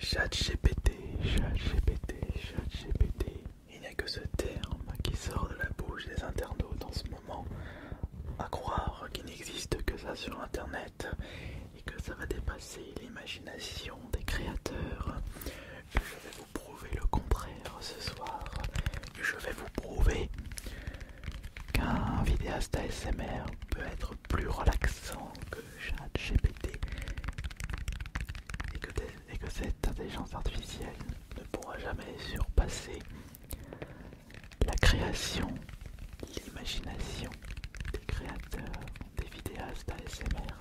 ChatGPT, chat ChatGPT. Il n'y a que ce terme qui sort de la bouche des internautes en ce moment. À croire qu'il n'existe que ça sur internet et que ça va dépasser l'imagination des créateurs. Je vais vous prouver le contraire ce soir. Je vais vous prouver qu'un vidéaste ASMR peut être plus relaxant que ChatGPT et que, et que cette intelligence artificielle ne pourra jamais surpasser la création, l'imagination des créateurs, des vidéastes ASMR.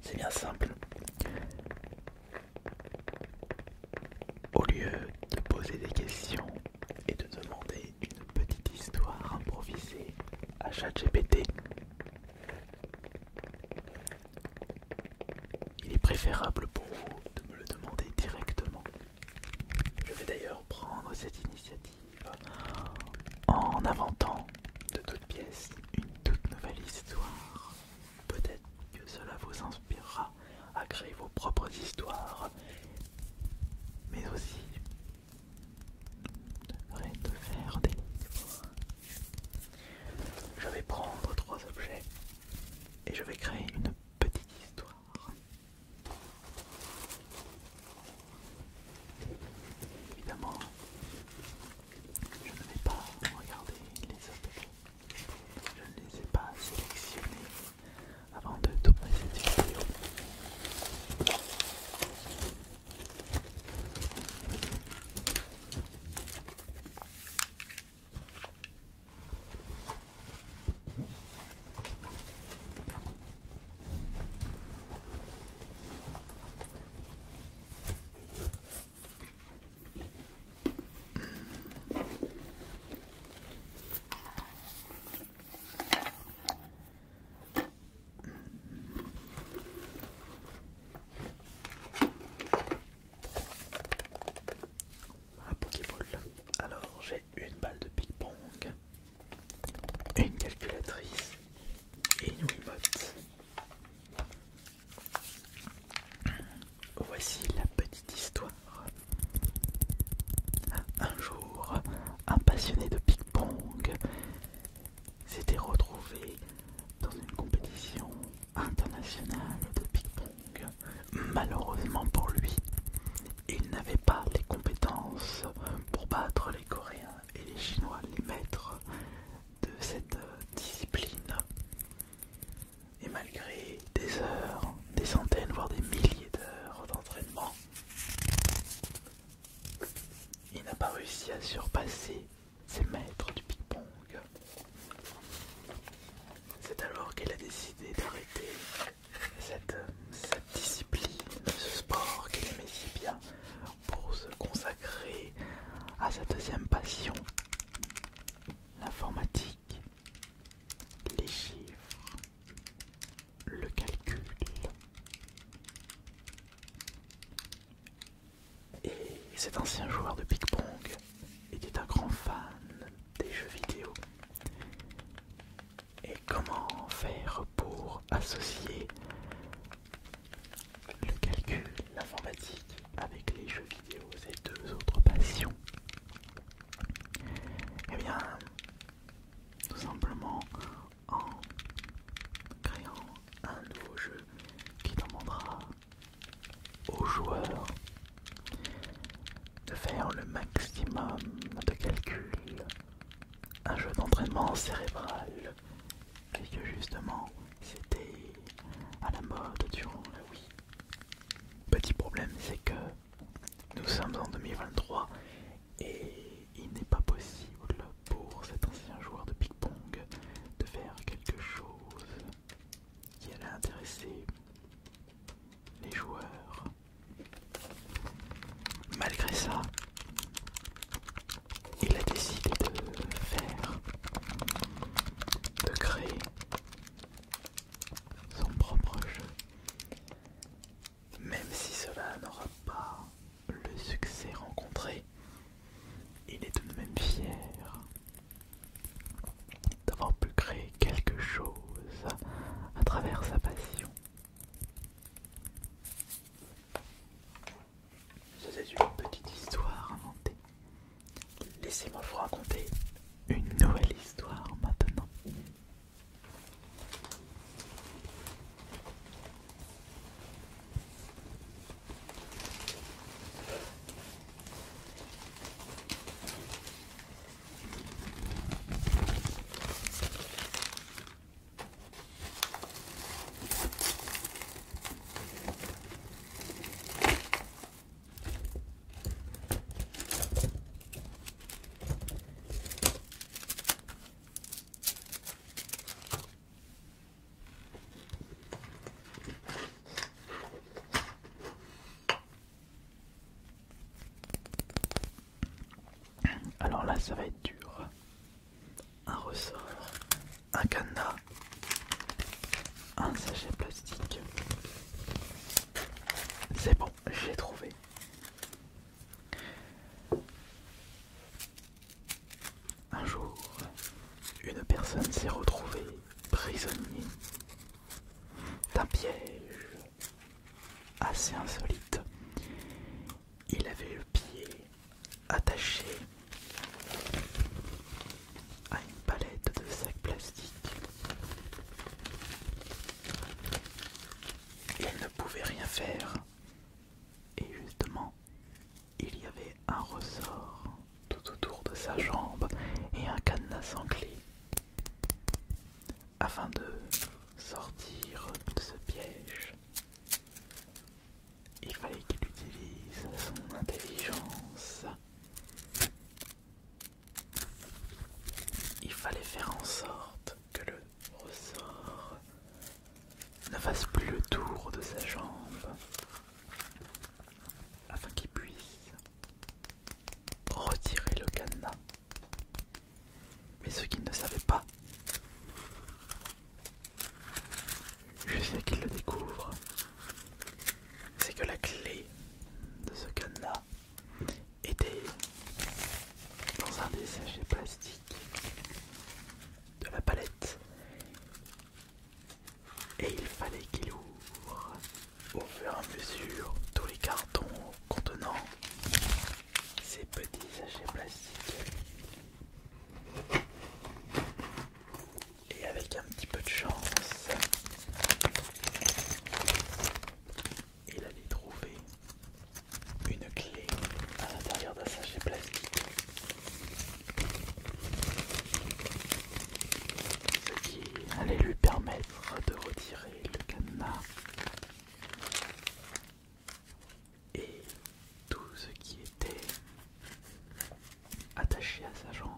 C'est bien simple. Au lieu de poser des questions et de demander une petite histoire improvisée à ChatGPT. Il est préférable pour vous de me le demander directement. Je vais d'ailleurs prendre cette initiative en inventant de toute pièces une toute nouvelle histoire. Peut-être que cela vous inspirera à créer vos propres histoires, mais aussi de faire des livres. Je vais prendre trois objets et je vais créer une petite histoire. Évidemment, je ne vais pas regarder les objets. Je ne les ai pas sélectionnés avant de tourner cette vidéo. Alors, j'ai une balle de ping-pong, une calculatrice et une remote. Voici la petite histoire. Un jour, un passionné de ping-pong s'était retrouvé dans une compétition internationale de ping-pong. Malheureusement pour lui, il n'avait pas les compétences pour battre les Coréens et les Chinois, les maîtres de cette discipline. Et malgré des heures, des centaines, voire des milliers d'heures d'entraînement, il n'a pas réussi à surpasser ses maîtres du ping-pong. C'est alors qu'il a décidé d'arrêter cette, discipline, ce sport qu'il aimait si bien, pour se consacrer à sa deuxième passion, l'informatique les chiffres, le calcul et cet ancien joueur de ping-pong était un grand fan des jeux vidéo. Et comment faire pour associer le calcul, l'informatique avec les jeux vidéo, et deux autres passions eh bien, tout simplement en créant un nouveau jeu qui demandera aux joueurs de faire le maximum de calculs. Un jeu d'entraînement cérébral, puisque justement c'était à la mode durant la week. Petit problème, c'est que nous sommes en 2023 et il n'est pas possible pour cet ancien joueur de ping-pong de faire quelque chose qui allait intéresser les joueurs. Malgré ça, il a décidé de faire, de créer son propre jeu. Même si cela n'aura pas le succès rencontré, il est tout de même fier d'avoir pu créer quelque chose à travers sa passion. C'est une petite histoire inventée Laissez-moi vous raconter une nouvelle histoire maintenant. Alors là, ça va être dur. Un ressort, un cadenas, un sachet plastique. C'est bon, j'ai trouvé. Un jour, une personne s'est retrouvée prisonnier d'un piège assez insolite. Il avait le pied attaché à une palette de sacs plastiques. Il ne pouvait rien faire. Et justement, il y avait un ressort tout autour de sa jambe et un cadenas sans clé. Afin de sortir de ce piège, il fallait qu'il utilise son intelligence il fallait faire en sorte que le ressort ne fasse plus le tour de sa jambe afin qu'il puisse retirer le cadenas. Mais ce qui ne savait pas, je sais qu'il le découvre, c'est que la clé de ce gun-là était dans un des sachets plastiques de la palette et il fallait qu'il ouvre au fur et à mesure tous les cartons contenant ces petits sachets plastiques. Et avec un petit peu de chance, il allait trouver une clé à l'intérieur d'un sachet plastique. Ce qui allait lui permettre de retirer le cadenas et tout ce qui était attaché à sa jambe.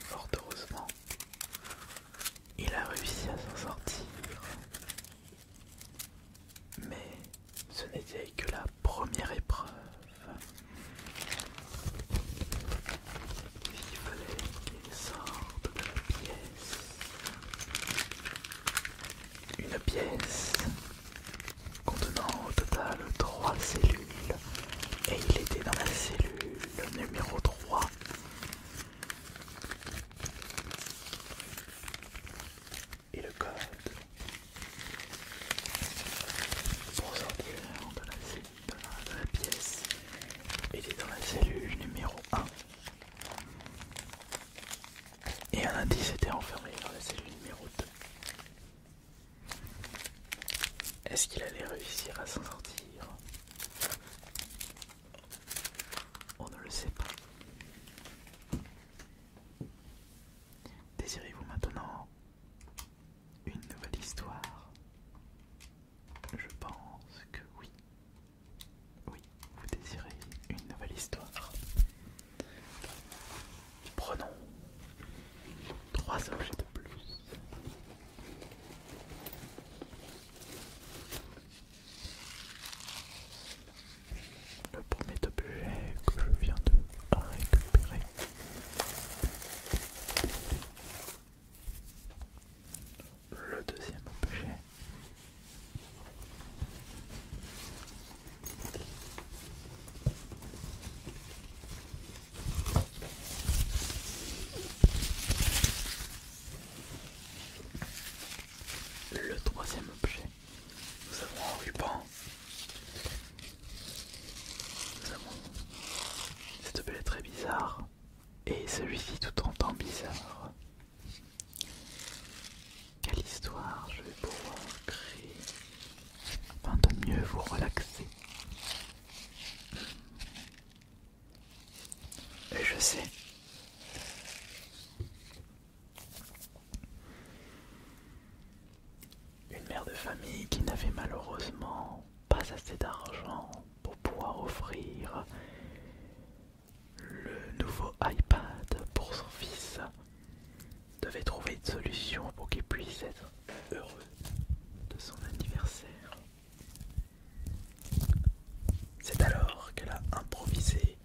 Fort heureusement, il a réussi à s'en sortir. Mais ce n'était que la première épreuve. Il fallait qu'il sorte de la pièce une pièce contenant au total 3 cellules et il était dans la cellule numéro 3. Et le code pour sortir de la, cellule, de la, pièce était dans la cellule numéro 1. Et un indice était enfermé dans la cellule numéro 2. Est-ce qu'il allait réussir à s'en sortir On ne le sait pas. Désirez-vous maintenant une nouvelle histoire Je pense que oui. Oui vous désirez une nouvelle histoire. Prenons trois objets de plus. Le premier objet que je viens de récupérer le deuxième objet le troisième objet, nous avons un ruban. Nous avons cet objet très bizarre et celui-ci tout en bizarre. Quelle histoire je vais pouvoir créer afin de mieux vous relaxer. Et je sais. Une mère de famille qui n'avait malheureusement pas assez d'argent pour pouvoir offrir le nouveau iPad pour son fils devait trouver une solution pour qu'il puisse être heureux de son anniversaire. C'est alors qu'elle a improvisé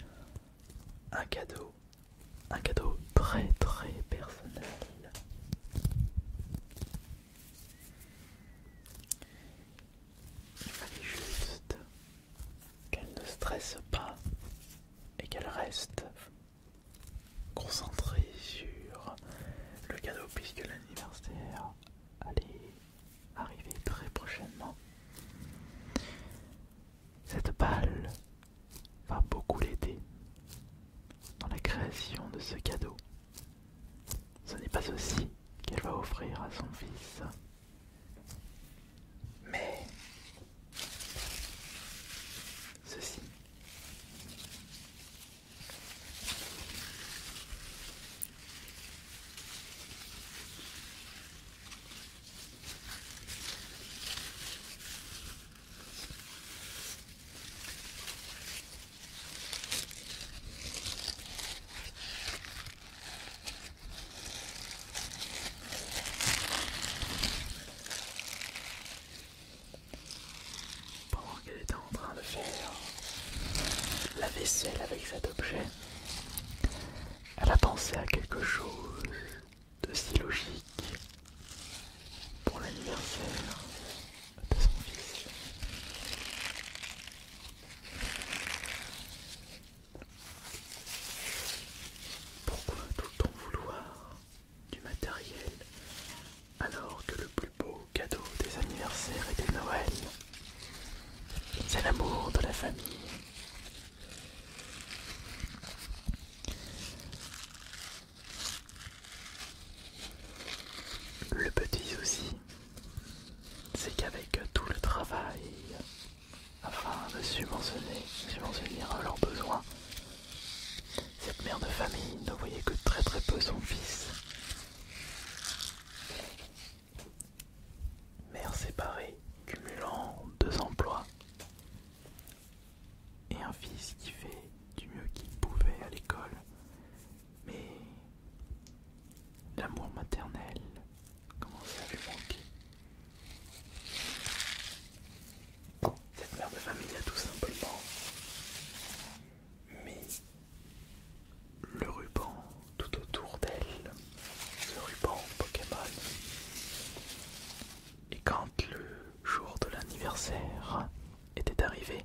un cadeau, un cadeau très très personnel. Il juste qu'elle ne stresse pas et qu'elle reste concentrée sur le cadeau puisque l'anniversaire allait arriver très prochainement. Cette balle va beaucoup l'aider dans la création de ce cadeau. Ce n'est pas aussi qu'elle va offrir à son fils. Mais ceci pendant qu'elle était en train de faire la vaisselle avec cet objet, elle a pensé à quelque chose de si logique pour l'anniversaire de son fils. Pourquoi tout le temps vouloir du matériel alors que le plus beau cadeau des anniversaires et des Noël, c'est l'amour de la famille le petit souci, c'est qu'avec tout le travail, afin de subventionner, à leurs besoins. Cette mère de famille ne voyait que très très peu son fils. Mère séparée, cumulant deux emplois, et un fils qui fait du mieux qu'il pouvait à l'école. Mais l'amour maternel Comment à manqué manquer. Cette mère de famille a tout simplement mis le ruban tout autour d'elle, ce ruban Pokémon. Et quand le jour de l'anniversaire était arrivé,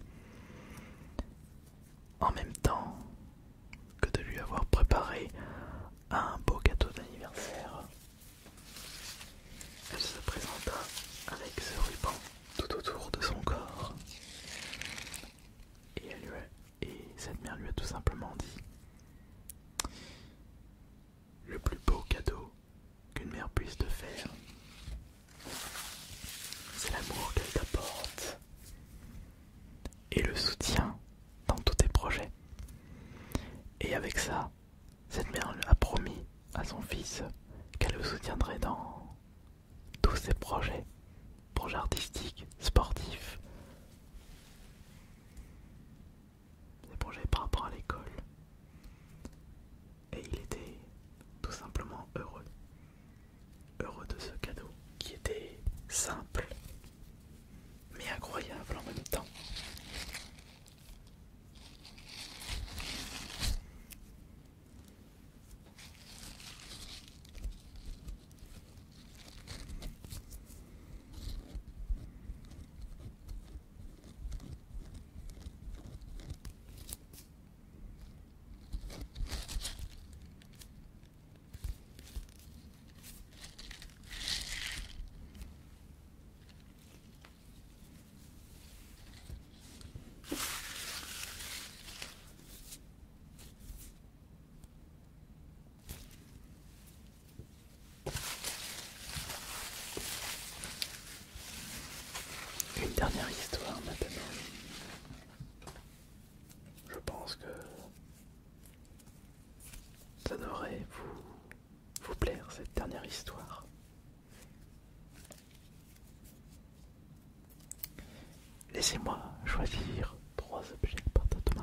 en même temps, que de lui avoir préparé un beau gâteau d'anniversaire. Elle se présenta avec ce ruban tout autour de son corps. Et, et cette mère lui a tout simplement dit le plus beau cadeau qu'une mère puisse te faire, c'est l'amour qu'elle t'apporte et le soutien dans tous tes projets. Et avec ça, cette mère a promis à son fils qu'elle le soutiendrait dans tous ses projets, projets artistiques, sportifs, des projets par rapport à l'école. Et il était tout simplement heureux, heureux de ce cadeau qui était simple, mais incroyable en même temps. Une dernière histoire maintenant. Je pense que ça devrait vous, vous plaire cette dernière histoire. Laissez-moi choisir trois objets par maintenant.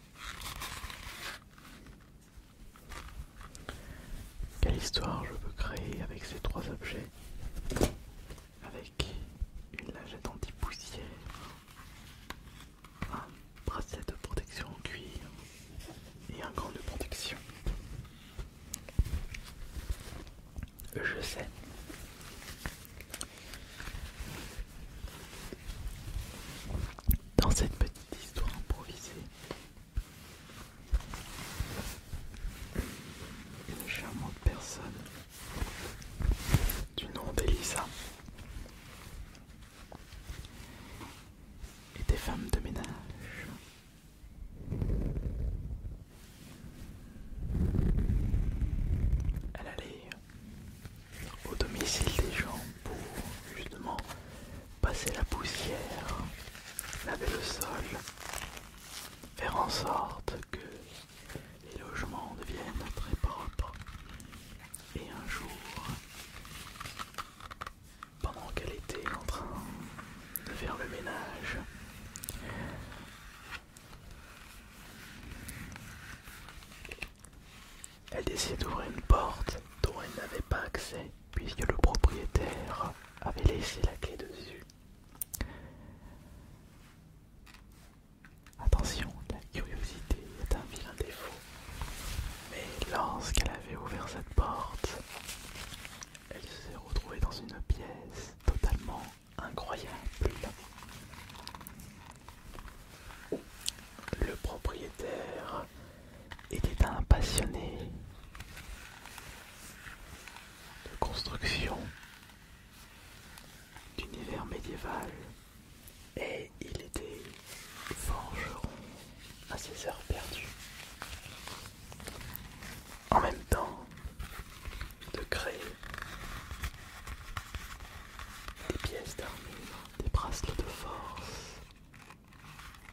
Quelle histoire je peux créer avec ces trois objets Avec une lingette anti-poussière, un bracelet de protection en cuir et un gant de protection. Je sais, dans cette petite histoire improvisée, une charmante personne du nom d'Elisa et des femmes de ménage. Elle allait au domicile des gens pour justement passer la poussière, laver le sol, faire en sorte que les logements deviennent très propres. Et un jour, pendant qu'elle était en train de faire le ménage, elle décide d'ouvrir une porte dont elle n'avait pas accès puisque le propriétaire avait laissé la clé dessus. Attention, la curiosité est un vilain défaut. Mais lorsqu'elle avait ouvert cette porte, elle s'est retrouvée dans une pièce totalement incroyable. Le propriétaire était un passionné de construction d'univers médiéval et il était forgeron à ses heures perdues. En même temps, de créer des pièces d'armure, des bracelets de force,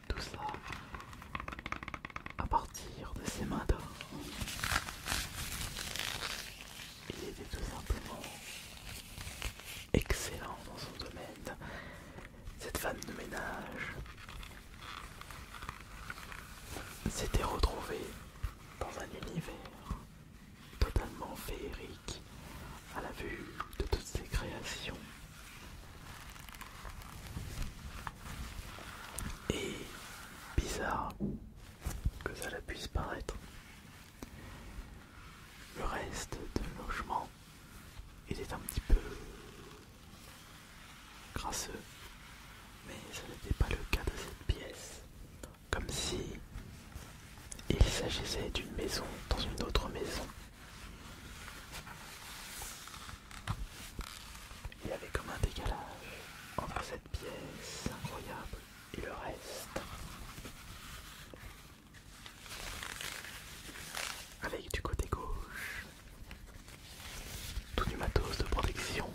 tout ça à partir de ses mains d'or. Il était tout simplement excellent dans son domaine, cette femme de ménage s'était retrouvée dans un univers totalement féerique à la vue de toutes ces créations. Et bizarre que la puisse paraître, le reste de logement était un petit peu grasseux, mais ce n'était pas le cas de cette pièce comme si il s'agissait d'une maison dans une autre maison. Il y avait comme un décalage entre cette pièce incroyable et le reste. Avec du côté gauche, tout du matos de protection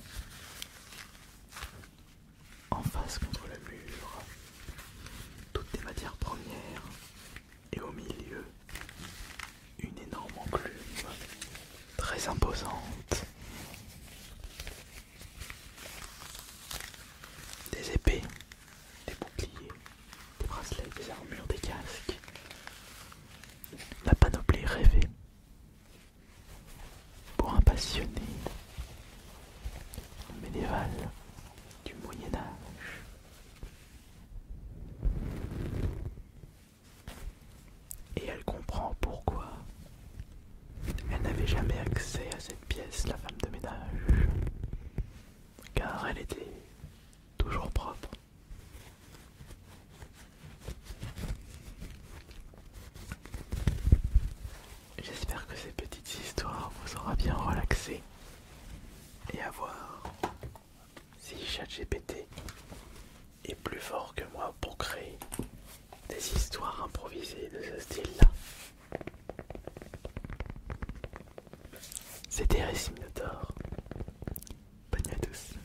en face contre le mur, toutes des matières premières, et au milieu, une énorme enclume très imposante. Des épées, des boucliers, des bracelets, des armures, des casques. La panoplie rêvée pour un passionné médiéval du Moyen Âge, et elle comprend pourquoi elle n'avait jamais accès à cette pièce, la femme de ménage, car elle était toujours propre. J'espère que ces petites histoires vous aura bien relaxé et à voir si ChatGPT est plus fort que moi pour créer des histoires improvisées de ce style-là. C'était de Thor. Bonne nuit à tous.